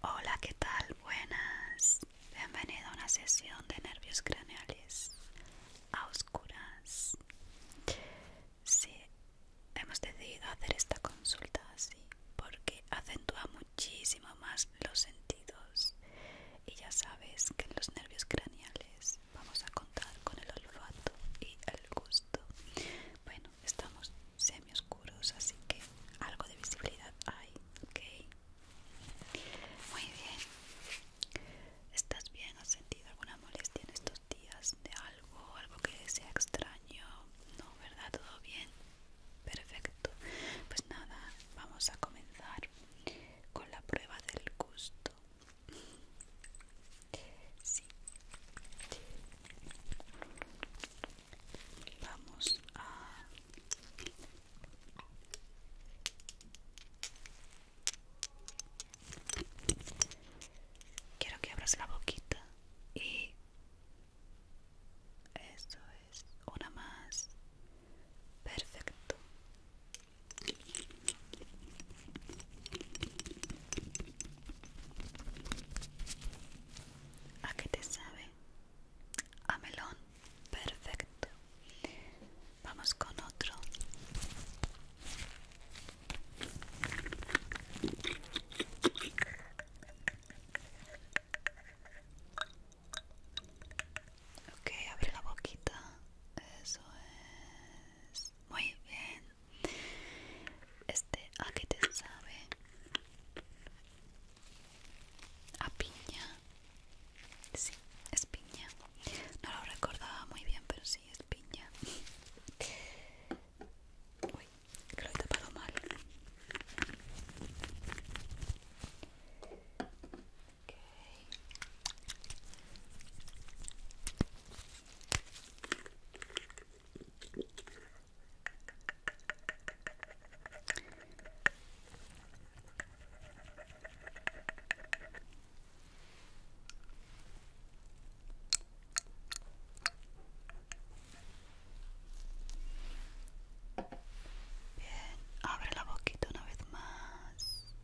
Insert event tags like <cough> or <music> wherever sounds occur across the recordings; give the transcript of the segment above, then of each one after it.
Hola, ¿qué tal? Buenas. Bienvenido a una sesión de nervios craneales a oscuras. Sí, hemos decidido hacer esta consulta así porque acentúa muchísimo más los sentidos. Y ya sabes que en los nervios craneales vamos a contar con el olfato y el gusto. Bueno, estamos semioscuros, así que algo de visibilidad hay, ok. Muy bien. ¿Estás bien? ¿Has sentido alguna molestia en estos días de algo? ¿Algo que sea extraño? No, ¿verdad? ¿Todo bien? Perfecto. Pues nada, vamos a comenzar con la prueba del gusto. Sí. Vamos a Quiero que abras la boquita y eso es una más. Perfecto. ¿A qué te sabe? A melón. Perfecto. Vamos con otro. Ok, abre la boquita. Eso es. Muy bien este a qué te sabe a piña sí es piña no lo recordaba muy bien pero sí es piña uy que lo he tapado mal Bien, abre la boquita una vez más.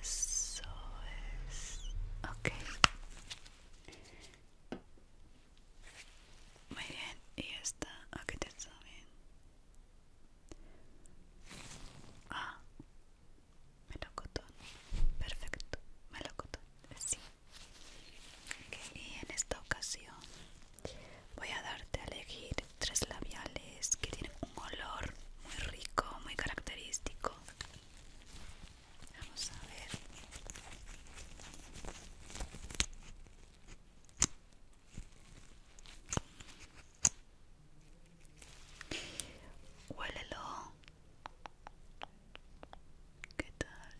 Eso es. Ok. Muy bien. Y esta. Aquí ah, te está bien. Ah. Melocotón. Perfecto. Melocotón. Sí. Y en esta ocasión voy a darte a elegir tres labiales que tienen un olor muy rico, muy característico. Vamos a ver. Huélelo. ¿Qué tal?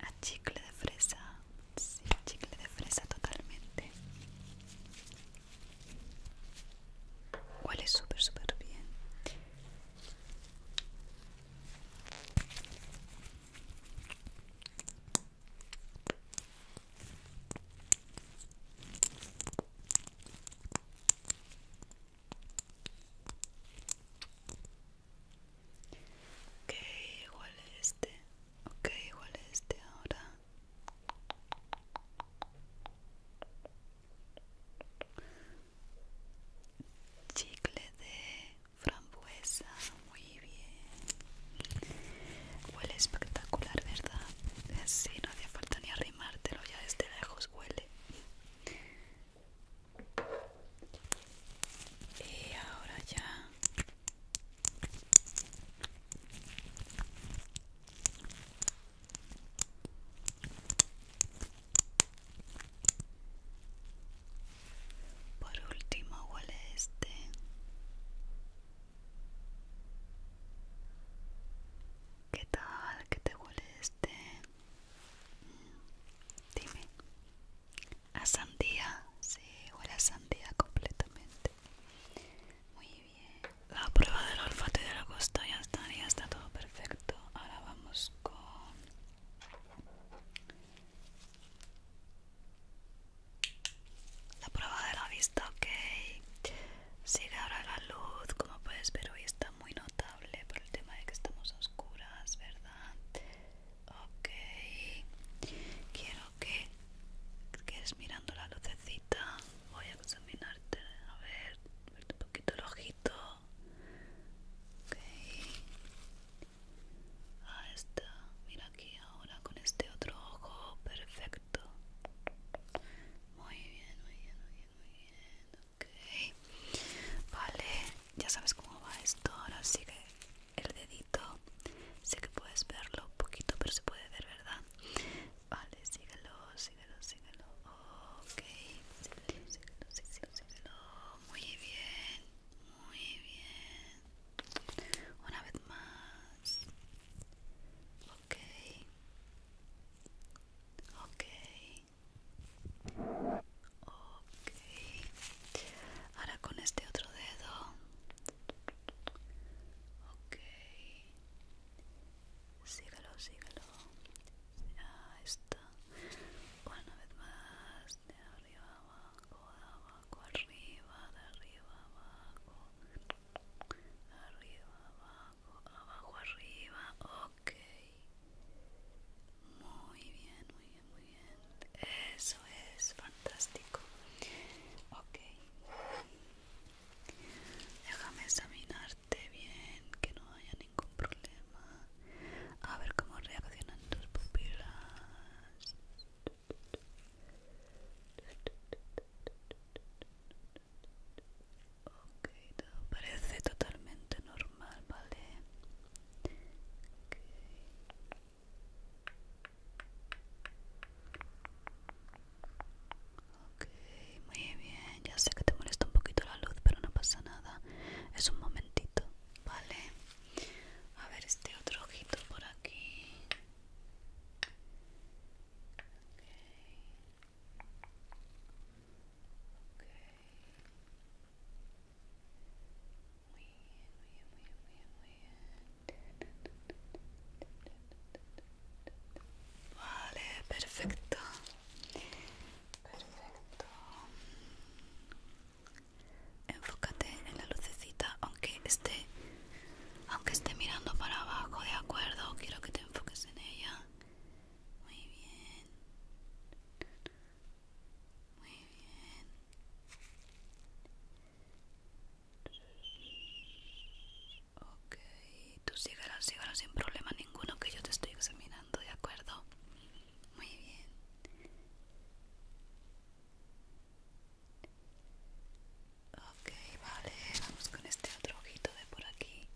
A chicle de fresa. Sí, chicle de fresa totalmente. Huele súper, súper bien. Ok, igual este. Ok, igual este ahora chicle de frambuesa muy bien huele espectacular verdad sí no hacía falta ni arrimártelo ya desde lejos huele y ahora ya por último huele este. ¿Qué tal? ¿Qué te huele este? Mm, dime. A sandía. Sí, huele a sandía completamente. Muy bien. La prueba del olfato y de la costa ya está, ya está todo perfecto. Ahora vamos con la prueba de la vista, ok. Sigue ahora la luz, como puedes ver hoy está muy notable por el tema de que estamos oscuras, ¿verdad? Ok. Quiero que es mirando la lucecita voy a examinarte a ver verte un poquito el ojito ok ahí está mira aquí ahora con este otro ojo perfecto muy bien muy bien muy bien muy bien ok vale ya sabes cómo va esto ahora sigue el dedito sé que puedes verlo un poquito pero se puede ver verdad vale síguelo síguelo síguelo muy bien muy bien una vez más ok ahora con este otro dedo Ok. Sígalo, sígalo. Ahí está. Una vez más. De arriba abajo, de abajo arriba, de arriba abajo. Arriba abajo, abajo arriba. Ok. Muy bien, muy bien, muy bien eso es fantástico. Ok. Déjame examinarte bien, que no haya ningún problema. A ver cómo reaccionan tus pupilas. Ok, todo parece totalmente normal, ¿vale? Ok, muy bien. Ya sé que te molesta un poquito la luz, pero no pasa nada. Es un momentito, ¿vale? A ver este otro ojito por aquí. Muy bien, muy bien, muy bien, muy bien, Vale, perfecto. Perfecto. Enfócate en la lucecita, aunque esté, aunque esté mirando para abajo, de acuerdo. Quiero que te enfoques en ella. Muy bien. Muy bien. Ok, tú síguelo, síganos sin problema ninguno que yo te estoy examinando, ¿de acuerdo? Muy bien. Ok, vale, vamos con este otro ojito de por aquí.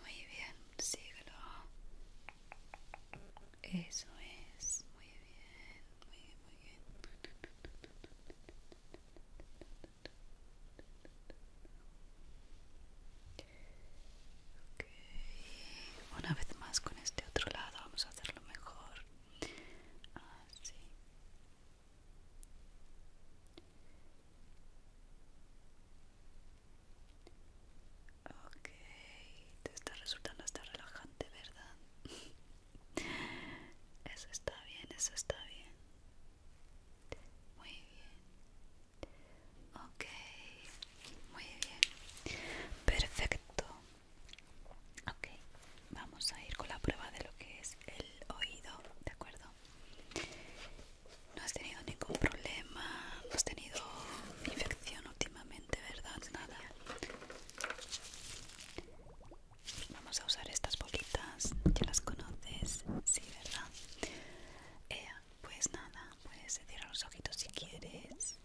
Muy bien, síguelo. Eso es, muy bien, muy bien, muy bien ok, Una vez más con este otro lado vamos a hacerlo mejor. Así. Ah, ok, te está resultando hasta relajante, ¿verdad? <laughs> Eso está bien, eso está bien. Muy bien. Ok, muy bien. Perfecto. Ok, vamos a ir con la prueba de lo que es el oído, ¿de acuerdo? No has tenido ningún problema, no has tenido infección últimamente, ¿verdad? Nada. Vamos a usar estas bolitas, ya las conoces, sí, ¿verdad? Pues nada, puedes cerrar los ojitos si quieres.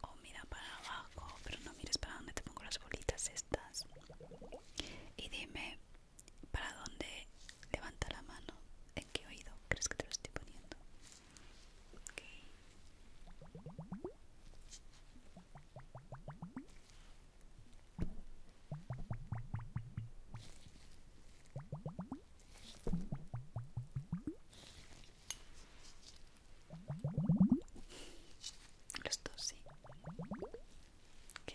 O mira para abajo, pero no mires para dónde te pongo las bolitas estas. Y dime para dónde levanta la mano. ¿En qué oído crees que te lo estoy poniendo? Los dos, sí. Ok.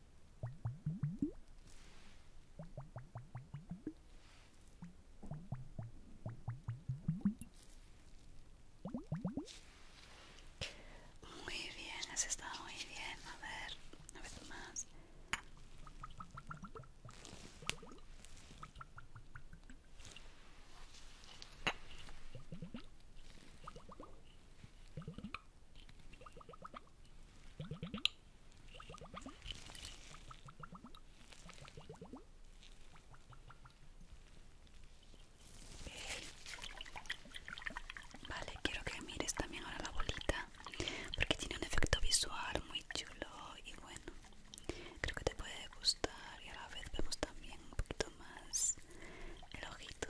Muy bien, has estado muy bien. A ver, una vez más. Vale, quiero que mires también ahora la bolita, porque tiene un efecto visual muy chulo y bueno, creo que te puede gustar y a la vez vemos también un poquito más el ojito.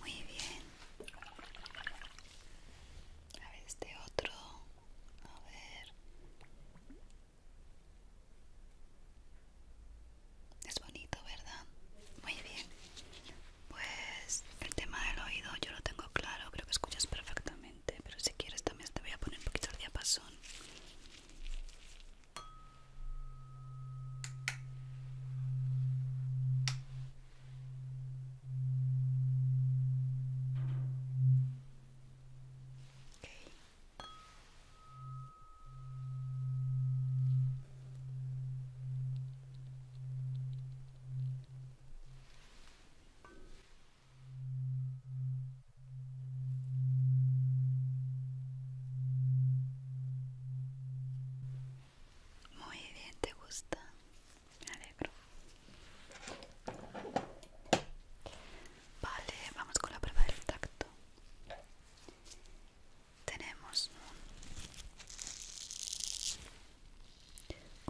Muy bien. A ver este otro. A ver. Es bonito, ¿verdad? Muy bien. Pues el tema del oído yo lo tengo claro, creo que escuchas perfectamente, pero si quieres también te voy a poner un poquito el diapasón. Muy bien, te gusta, me alegro. Vale, vamos con la prueba del tacto tenemos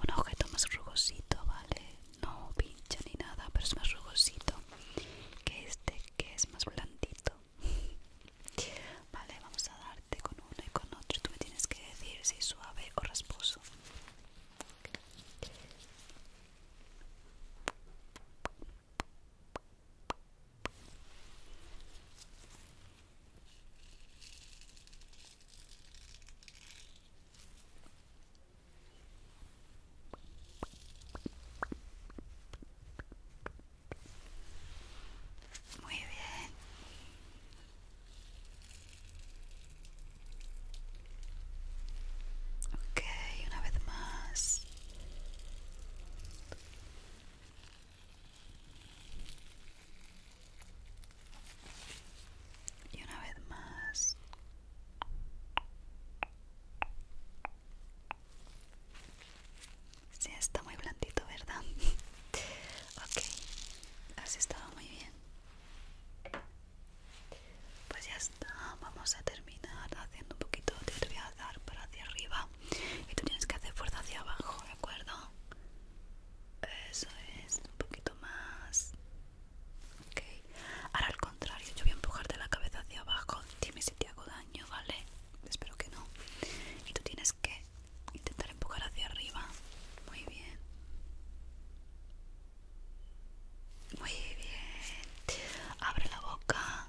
un, objeto más rugosito, ¿vale? No pincha ni nada, pero es más rugosito que este que es más blandito. <laughs> Vale, vamos a darte con uno y con otro. Tú me tienes que decir si es suave o rasposo. Muy bien. Okay, una vez más. Y una vez más. Sí, está muy blandito, ¿verdad? <laughs> ok, así estaba muy bien. Pues ya está, vamos a terminar haciendo un poquito de triazar para hacia arriba y tú tienes que hacer fuerza hacia abajo, ¿de acuerdo? Eso es, un poquito más. Ok, ahora al contrario, yo voy a empujarte la cabeza hacia abajo. Dime si te hago daño, ¿vale? Espero que no. Y tú tienes que intentar empujar hacia arriba. Muy bien. Muy bien. Abre la boca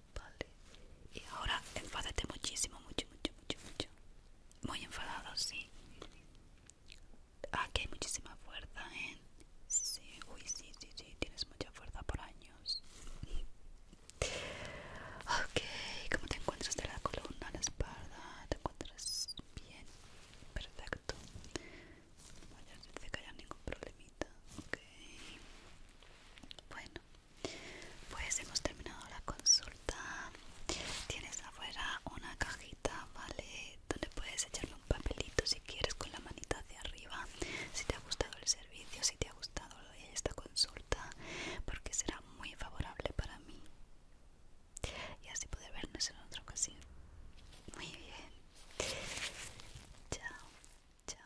vale. Y ahora enfádate muchísimo, mucho, mucho, mucho, mucho. Muy enfadado, sí. Aquí hay muchísima fuerza, ¿eh? Sí, uy, sí, sí, sí, tienes mucha fuerza por años. Ok, ¿cómo te encuentras de la columna, la espalda? ¿Te encuentras bien? Perfecto. No que ningún problemita. Ok. Bueno, pues hemos terminado la consulta. Tienes afuera una cajita, ¿vale? Donde puedes echarle un papelito si quieres con la manita hacia arriba. Si te ha gustado el servicio, si te ha gustado esta consulta, porque será muy favorable para mí. Y así poder vernos en otra ocasión. Muy bien. Chao, chao. chao.